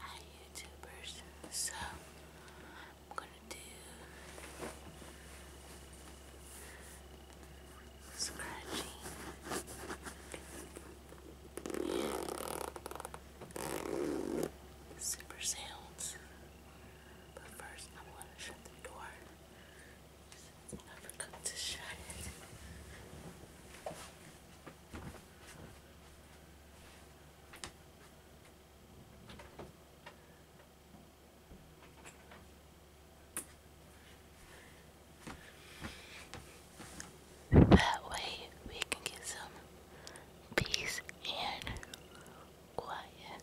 Hi YouTubers, so I'm gonna do scratchy, super sounds. But first I'm gonna shut the door. I forgot to shut it. That way we can get some peace and quiet.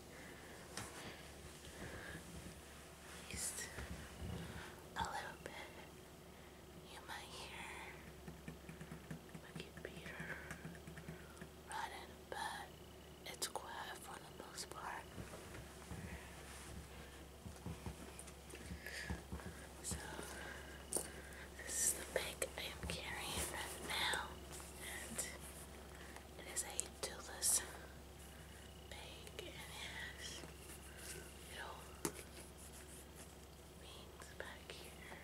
Peace. A little bit. You might hear my computer running, but it's quiet for the most part. the bag I am carrying right now, and it is a Dula's bag, and it has wings back here. And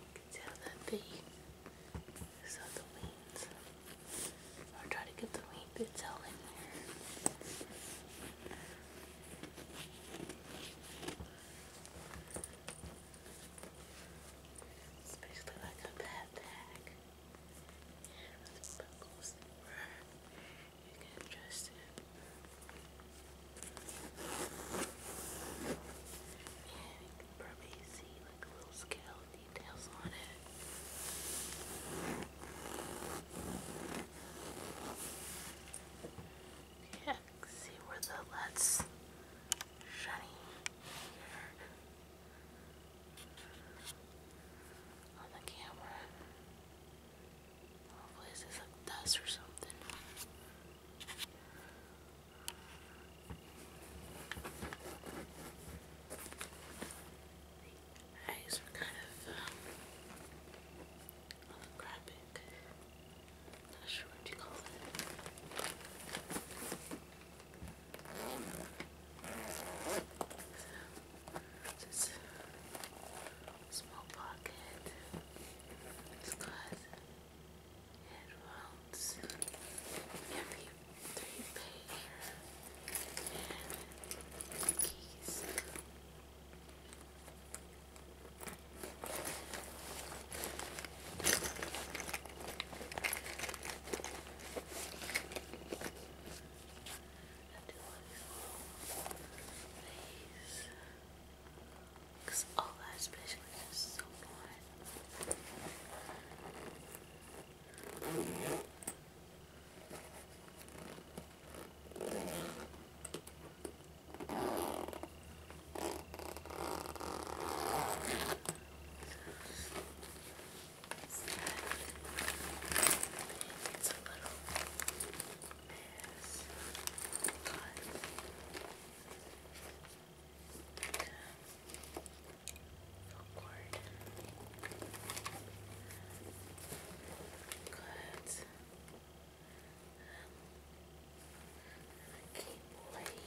you can tell that they saw the wings. I'll try to get the wing bits out in there. Especially like a backpack. And with buckles that you can you probably see like little scale details on it. Yeah, see where the LED's shiny here on the camera. Hopefully this dust or something. The eyes kind of um, holographic. Not sure what you call it. Just small pocket. It's got headphones. Every three pager and keys and do Because all that especially is so fun. It's a little mess, but forward. Good. Um, keep waiting.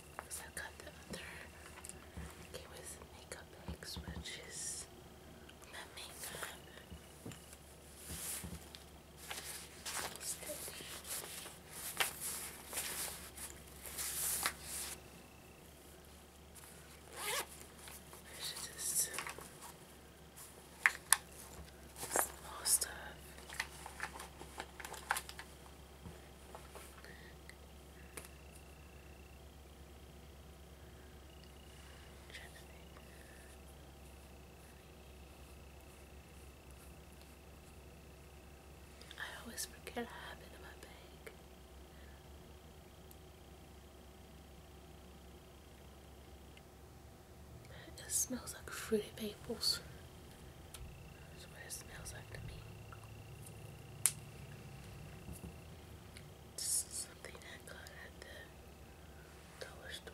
Because i got the other Kiwa's makeup eggs, which is my makeup. Steady. I should just small stuff. I always forget I have it in my bag. It smells like fruity maples. That's what it smells like to me. It's something I got at the dollar store.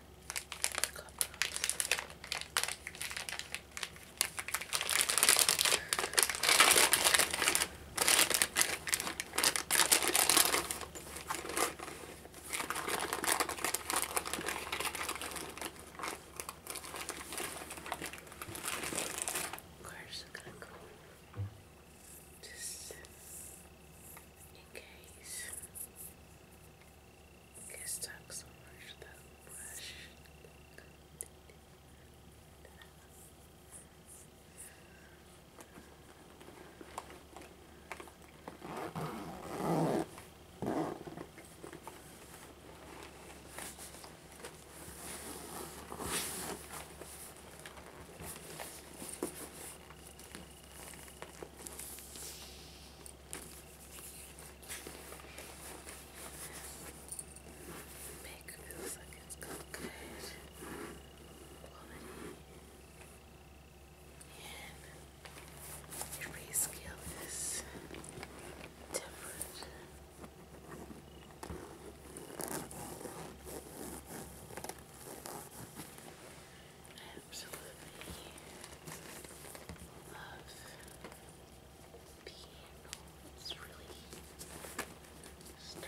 Cards are gonna go just in case. Okay. It stuck so much that the brush Bake feels like it good quality. And your pay scale is different absolutely love piano. It's really sturdy.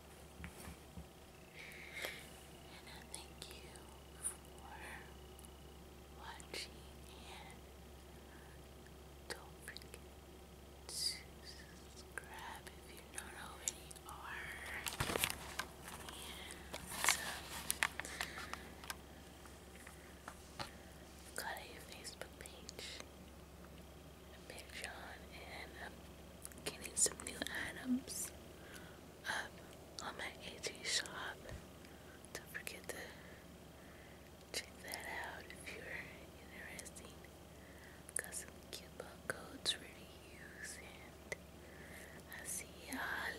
And thank uh, you for watching and don't forget to subscribe if you not already And got a Facebook page. Big John and um, getting some new items up on my AT shop. Don't forget to check that out if you're interested. Got some cute codes ready to use, and I'll see y'all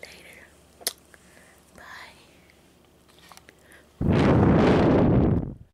later. Bye.